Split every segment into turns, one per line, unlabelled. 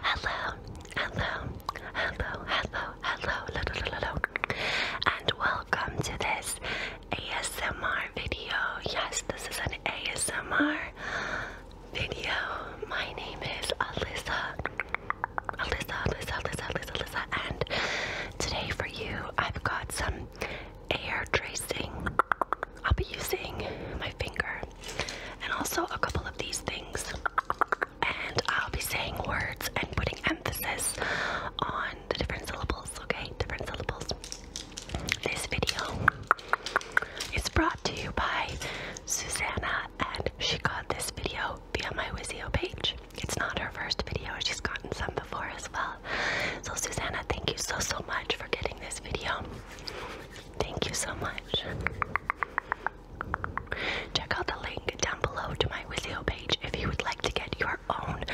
Hello, hello, hello, hello, hello, hello, hello, and welcome to this ASMR video. Yes, this is an ASMR video. My name is Alyssa, Alyssa, Alyssa, Alyssa, Alyssa, and today for you, I've got some air tracing. I'll be using my finger and also a couple of these things. And I'll be saying words and putting emphasis on the different syllables, okay? Different syllables. This video is brought to you by Susanna, and she got this video via my Wizio page. It's not her first video, she's gotten some before as well. So, Susanna, thank you so, so much for getting this video. Thank you so much. Check out the link down below to my Wizio page if you would like to get your own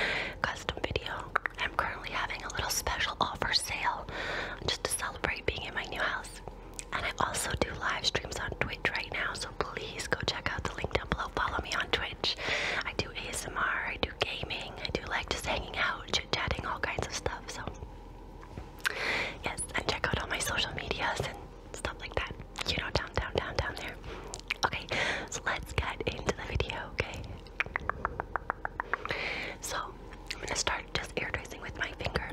custom video. I'm currently having a little special offer sale just to celebrate being in my new house. And I also do live streams on Twitch right now, so please go check out the link down below. Follow me on Twitch. I do ASMR, I do gaming, I do like just hanging out, chit chatting, all kinds of stuff. So Yes, and check out all my social medias and stuff like that. You know, down, down, down, down there. Okay, so let's get into the video, okay? So, I'm gonna start just air tracing with my finger.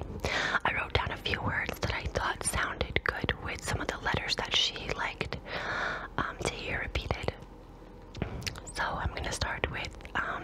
I wrote down a few words that I thought sounded good with some of the letters that she liked um, to hear repeated. So, I'm gonna start with um,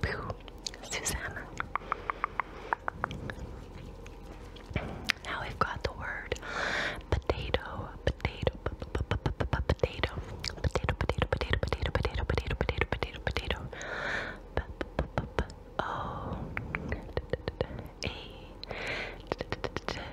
Boo, Susanna. Now we've got the word potato, potato, p -p -p -p -p potato, potato, potato, potato, potato, potato, potato, potato, potato, potato, o, oh. a,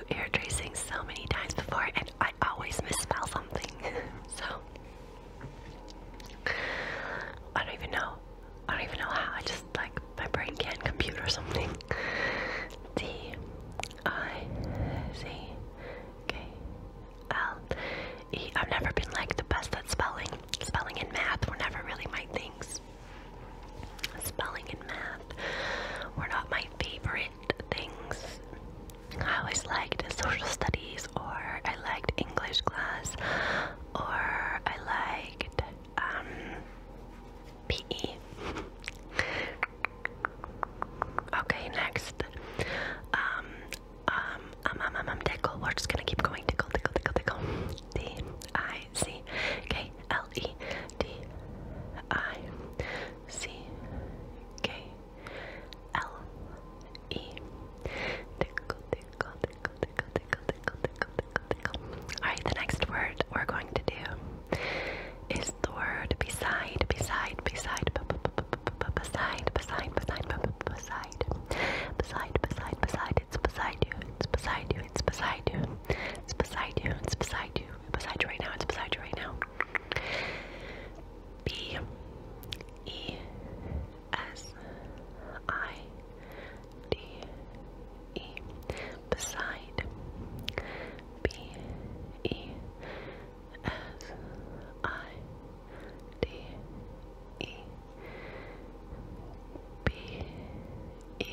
do tracing so many times before and I always misspell something. so I don't even know. I don't even know how. I just like my brain can't compute or something. D I C K L E. I've never been like the best at spelling. Spelling and math were never really my things. Spelling and math were not my favorite things. I always liked social studies, or I liked English class, or I liked PE. okay, next. Um, um, um, um, tickle. We're just gonna keep going. Tickle, tickle, tickle, tickle. D I C K L E D I C K L E. Tickle, tickle, tickle, tickle, tickle, tickle, tickle, tickle, tickle. Alright, the next word we're going to do is the word beside, beside, beside, beside, beside, beside. Beside, beside, beside, it's beside you, it's beside you, it's beside you, it's beside you, it's beside you, Beside you right now. It's beside you right now. B E S I D E. Beside. B E S I D E. B E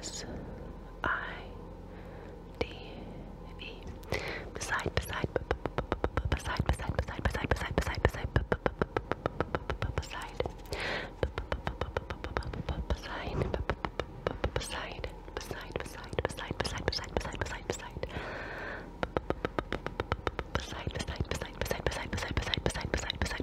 S I D E. Beside, beside, beside, beside, beside, beside, beside, beside, beside, beside, beside, beside. Beside, beside, beside, beside, beside, beside, beside, beside. Beside, beside, beside, beside, beside, beside, beside, beside, beside, beside.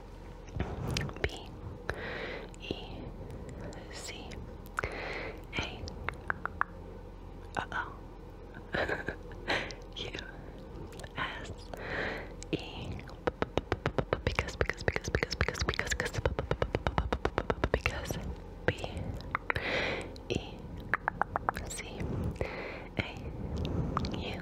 B E C A uh oh U S E because because because because because because because because B E C A U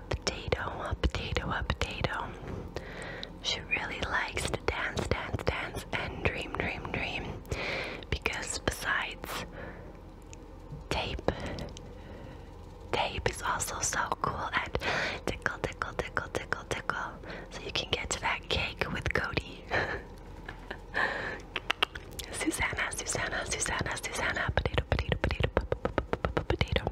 a potato, a potato, a potato. She really likes to dance, dance, dance, and dream, dream, dream. Because besides tape, tape is also so cool and tickle, tickle, tickle, tickle, tickle. So you can get to that cake with Cody. Susanna, Susanna, Susanna, Susanna, potato, potato, potato, potato.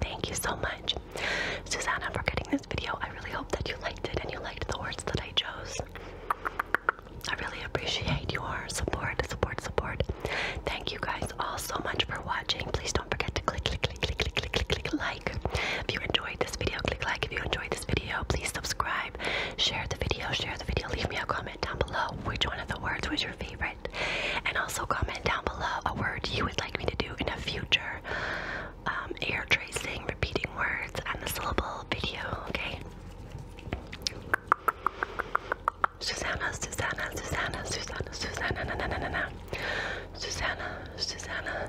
Thank you so much, Susanna, for getting this video. I really hope that you liked it and you liked the words that I chose. I really appreciate your support, support, support. Thank you guys all so much for watching. Please don't forget to click, click, click, click, click, click, click, click like. If you enjoyed this video, click like. If you enjoyed this video, please subscribe. Share the video, share the video. Leave me a comment down below which one of the words was your favorite. And also comment down below a word you would like me to do in a future um, air tracing, repeating words and the syllable video, okay? Susanna, Susanna, Susanna, Susanna, Susanna, na, na, na, na, na. Susanna, Susanna,